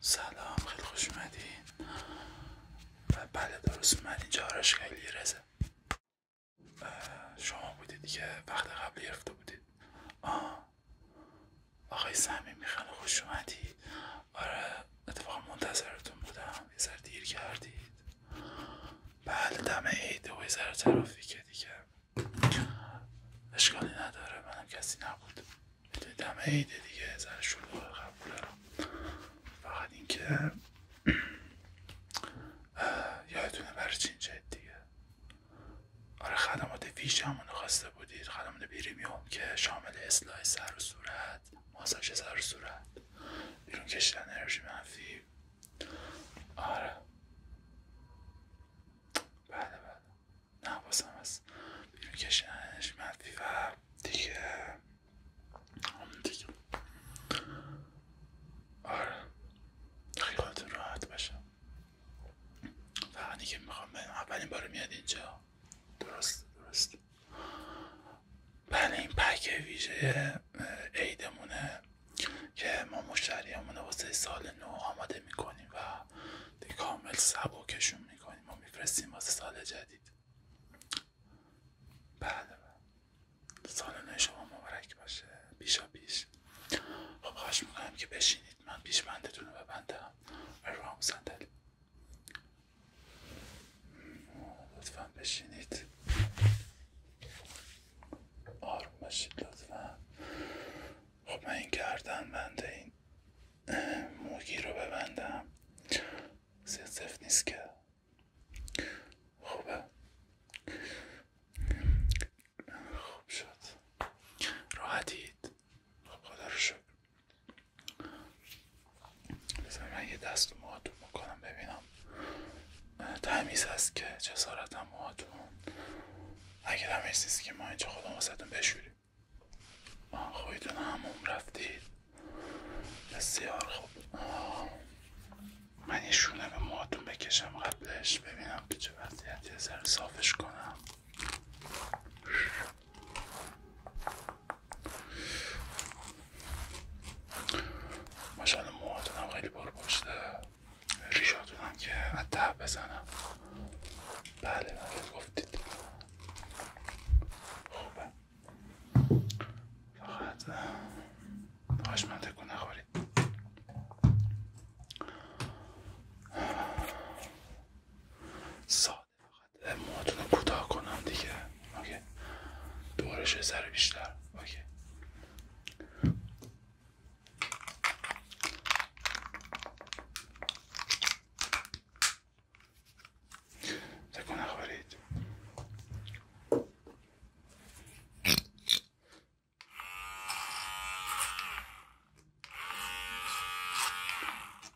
سلام خیلی خوش اومدین و بله درست اینجا راش خیلی رزه شما بودید که وقت قبل گرفته بودید آه آقای سهمی خیلی خوش اومدی آره اتفاق منتظرتون بودم یه سر دیر کردید بعد بله، دم عیده و یه سر ترافیکه دیگه اشکالی نداره منم کسی نبود ایده دم عیده دیگه سر شلوغ قبوله فقط اینکه یادتونه برای دیگه آره خدمات ویژه همونو خواسته بودید خدمات پریمیوم که شامل اصلاح سر و صورت صورت ماساژ صورت بیرون کشیدن انرژی منفی آره بله بله نه بازم هست بیرون کشیدن انرژی منفی و دیگه همون دیگه آره راحت باشه فقط میخوام اولین بار میاد اینجا درست درست بله این پک ویژه عیدمونه که ما مشتریامون واسه سال نو آماده میکنیم و دی کامل سبکشون میکنیم و میفرستیم واسه سال جدید بله بله سال نو شما مبارک باشه بیشا پیش خب خواهش میکنم که بشینید من پیش بندتون رو ببندم و روام صندلی لطفا بشینید آروم باشید لطفا خب من این گردن بنده این موگی رو ببندم زیاد نیست که خوبه خوب شد راحتید خب خدا رو شکر بذار من یه دست موهاتون میکنم ببینم تمیز هست که جسارت هم موهاتون اگر هم نیست که ما اینجا خودم واسهتون بشوریم هم هموم رفتید بسیار خوب من یه شونه به موهاتون بکشم قبلش ببینم که چه وضعیتی صافش کنم ماشاءالله موهاتون هم خیلی پر پشته ریشاتون هم که ته بزنم بله بله گفتید خوبه فقط خواهش من تکون نخورید زیاده فقط رو کوتاه کنم دیگه اوکی دورش سر بیشتر اوکی تکون نخورید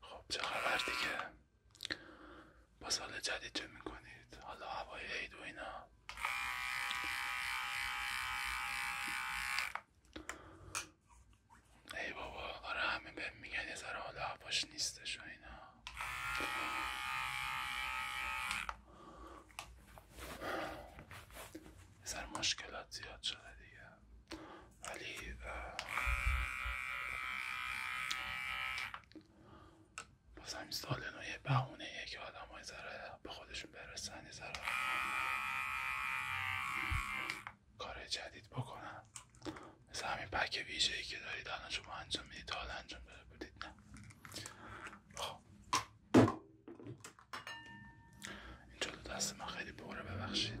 خب چه خبر دیگه با سال جدید چه میکنید حالا هوای عید و اینا ای بابا آره همه بهم میگن یه ذره حالا هواش نیستش و اینا مشکلات زیاد شده دیگه ولی باز همین سال نو یه بهونه که آدم های به خودشون برسن یه ذره کار جدید بکنن مثل همین پک ویژه ای که دارید الان شما انجام میدید تا انجام بودید نه خب این جلو دست من خیلی بوره ببخشید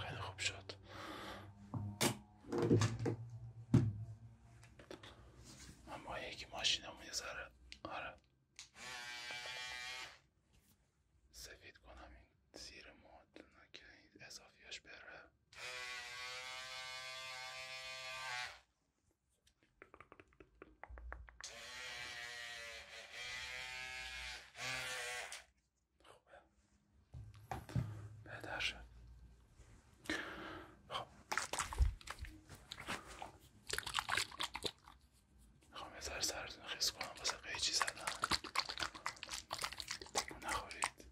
خیلی خوب شد اما یکی ماشین یه ذره آره سفید کنم این زیر مادونه که این اضافیاش بره خوبه بهتر خب خب یه ذره سرتون خیس کنم واسه قیچی زدم نخورید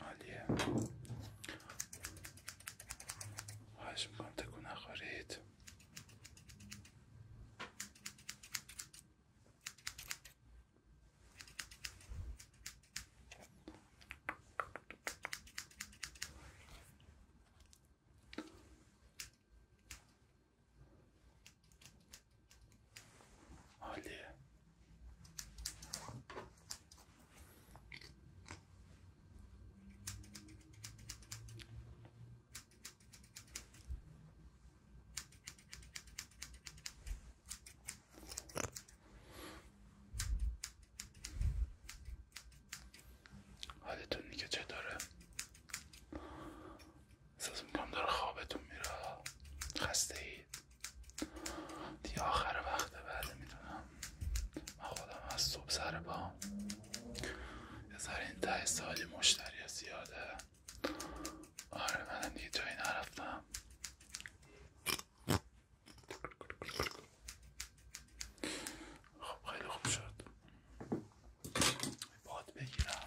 عالیه خواهش میکنم تکو نخورید عالیه حالتون که چه داره احساس میکنم داره خوابتون میره خسته اید دیگه آخر وقت بعد میدونم من خودم از صبح سر با یه سر این ته سالی مشتری زیاده آره منم دیگه جایی نرفتم خب خیلی خوب شد باد بگیرم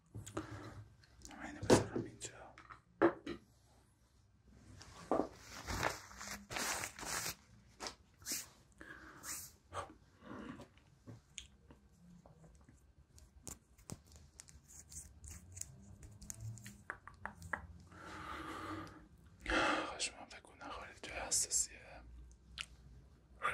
من اینو بذارم اینجا خشمم حساسیه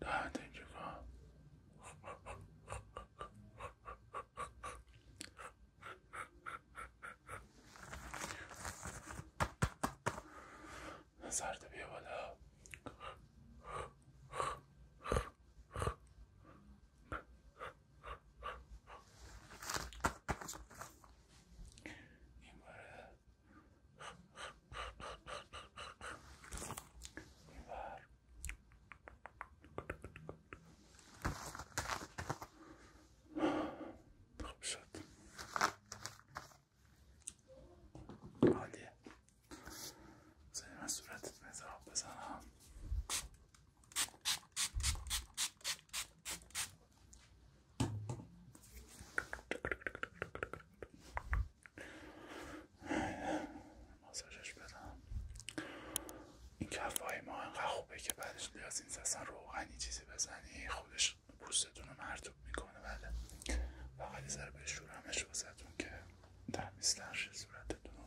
나한테주가 سرد بیا این بره این خب، شد عالیه من بزنم ماساژش بدم این کفای ما انقد خوبه که بعدش لیازین اصلا روغنی چیزی بزنی خودش پوستتونو مرتوب میکنه بله فقط یه ذره همش واسهتون که تمیزتر صورتتون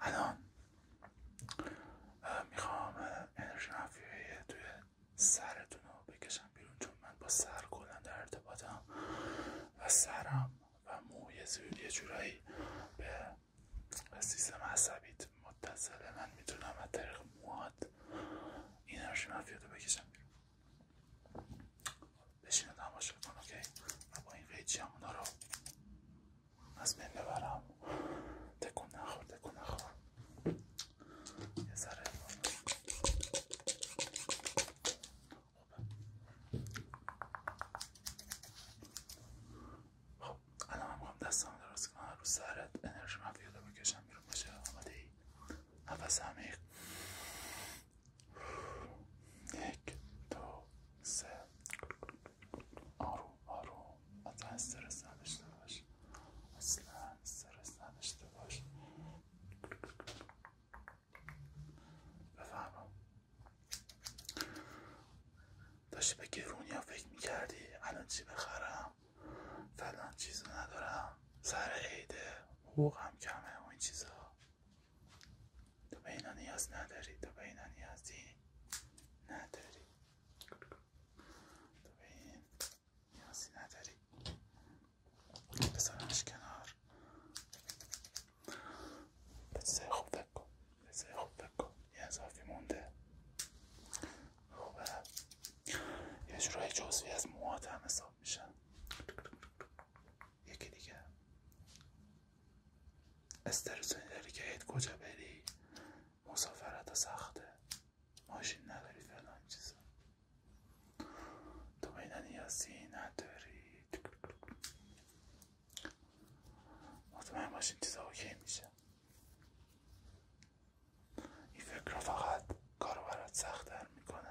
الان میخوام انرژی منفیه توی سرتون رو بکشم بیرون چون من با سر کلا در ارتباطم و سرم و موی زیر یه جورایی به سیستم عصبیت متصله من میتونم از طریق این انرژی منفیه رو بکشم بیرون بشین تماشا کن اوکی من با این قیچی هم رو از بین ببرم تکون نخور تکون نخور یه ذره خوب الان هم دستم درست کنم رو سرت انرژی مفید رو بکشم بیرون باشه آماده ای نفس عمیق یک دو سه آروم آروم حتی استرس نداشته باش اصلا استرس نداشته باش بفهمم داشتی به گرونیا فکر میکردی الان چی بخرم فلان چیزو ندارم سر عیده حقوق هم کمه و این چیزا تو به اینا نیاز نداری تو به اینا نیازی نداری تو به این نیازی نداری کنار به چیزای خوب فکر کن خوب فکر یه مونده خوبه یه جورای جزوی از موهات حساب میشن یکی دیگه استرس داری که کجا بری مسافرت سخته ماشین نداری فلان چیزا تو میدن یاسی نداری مطمئن باشین چیزا اوکی میشه این فکر فقط کارو برات سختتر میکنه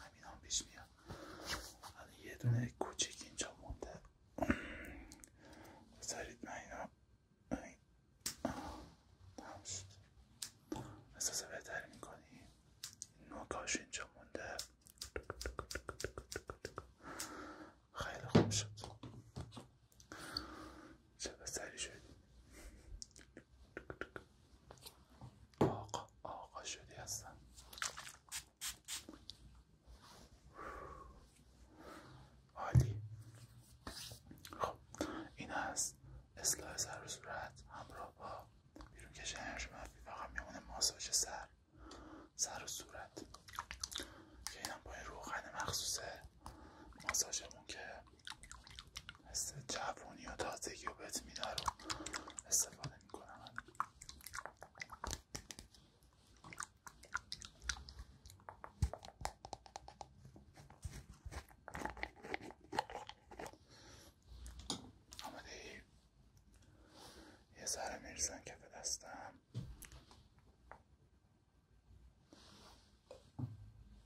همین هم پیش میاد یه دونه کوچیک اینجا مونده بذارید من اینا تمام احساس میکنی نوکاش اینجا مونده خیلی خوب شد چه بسری شد آقا آقا شدی هستم عالی خب این از اصلاح سر و صورت همراه با بیرون کش منفی فقط میمونه ماساژ سر سر و صورت که اینم با این روغن مخصوص ماساژمون که است جوانی و تازگی و رو استفاده میکنم آمده یه ذره میرسن که به دستم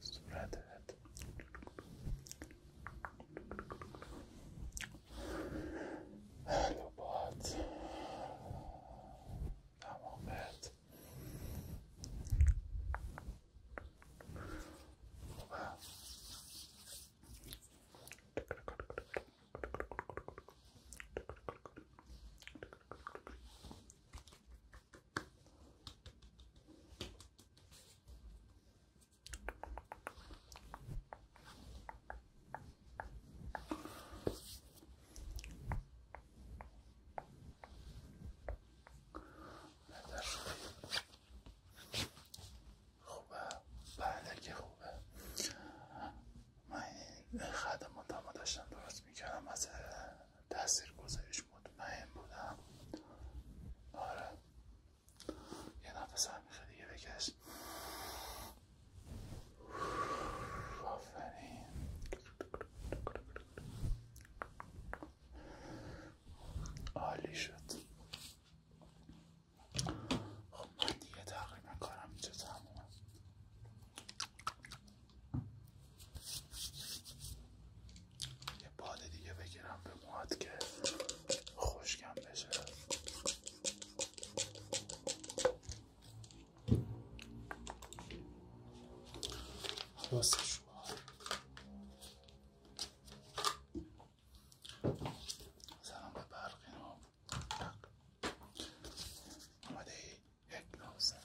spread it. Hello, bud. I'm on خوبه بله که خوبه من داشتم درست از تاثیر گذارش مطمئن بودم آره یه نفس عمیق دیگه بکش آفرین عالی شد خب من دیگه تقریبا کارم اینجا تمومه یه باد دیگه بگیرم به موهات که خشکم بشه خلاصش سلام به برقی نام اومده یک نوزن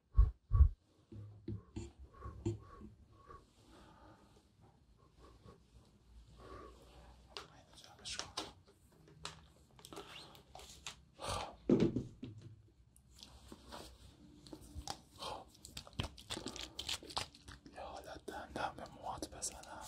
خب. یه حالت دهنده همه بزنم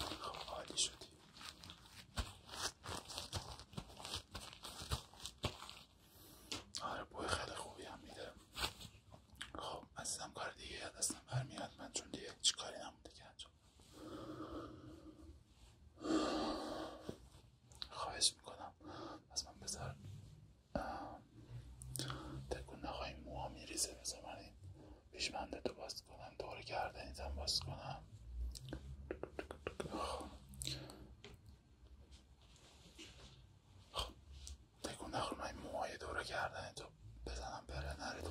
خب عالی شدی آره بوی خیلی خوبی هم میده خب عزیزم کار دیگه یاد دستم برمیاد من چون دیگه هیچ کاری نمونده که خواهش میکنم از من بذار تکون نخواهی موها میریزه بذار من این پیشمنده تو باز کنم دور گردنیتم باز کنم خب, خب. تکون نخور من این موهای دور تو بزنم بره نره تو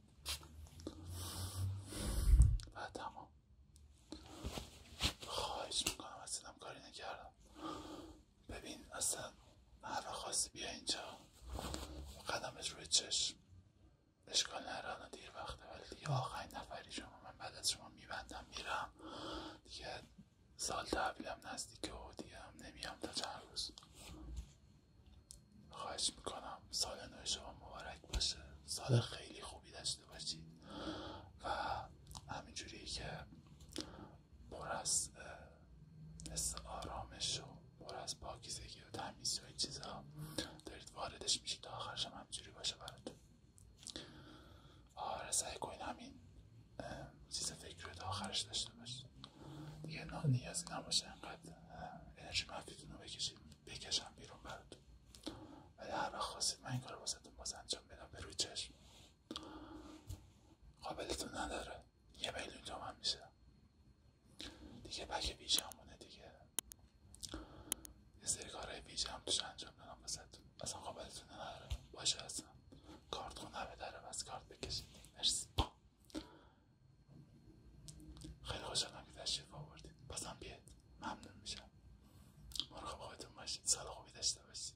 و تمام خواهش میکنم از اینم کاری نکردم ببین اصلا هر خواستی بیا اینجا قدمش روی چشم اشکال نره الان دیر وقته ولی دیگه آخرین نفری شما من بعد از شما میبندم میرم دیگه سال تحویلم نزدیکه و دیگه هم نمیام تا چند روز خواهش میکنم سال نو شما مبارک باشه سال خیلی خوبی داشته باشید و همینجوری که پر از حس آرامش و پر از پاکیزگی و تمیزی و این چیزها دارید واردش میشید تا آخرش هم همینجوری باشه براتون آره سعی کنید همین چیز فکر تا آخرش داشته باشید دیگه نیازی نباشه انقدر انرژی منفیتون رو بکشید بکشم بیرون براتون ولی هر وقت خواستید من این کار واسهتون باز انجام بدم به روی چشم قابلتون نداره یه میلیون تومن میشه دیگه بک همونه دیگه یه سری کارهای ویژه هم توش انجام دادم واسهتون اصلا قابلتون نداره باشه اصلا کارت خونه داره بس کارت بکشید مرسی خیلی خوشحالم که تشریف آوردید بازم بیاد ممنون میشم مراقب خودتون باشین سال خوبی داشته باشید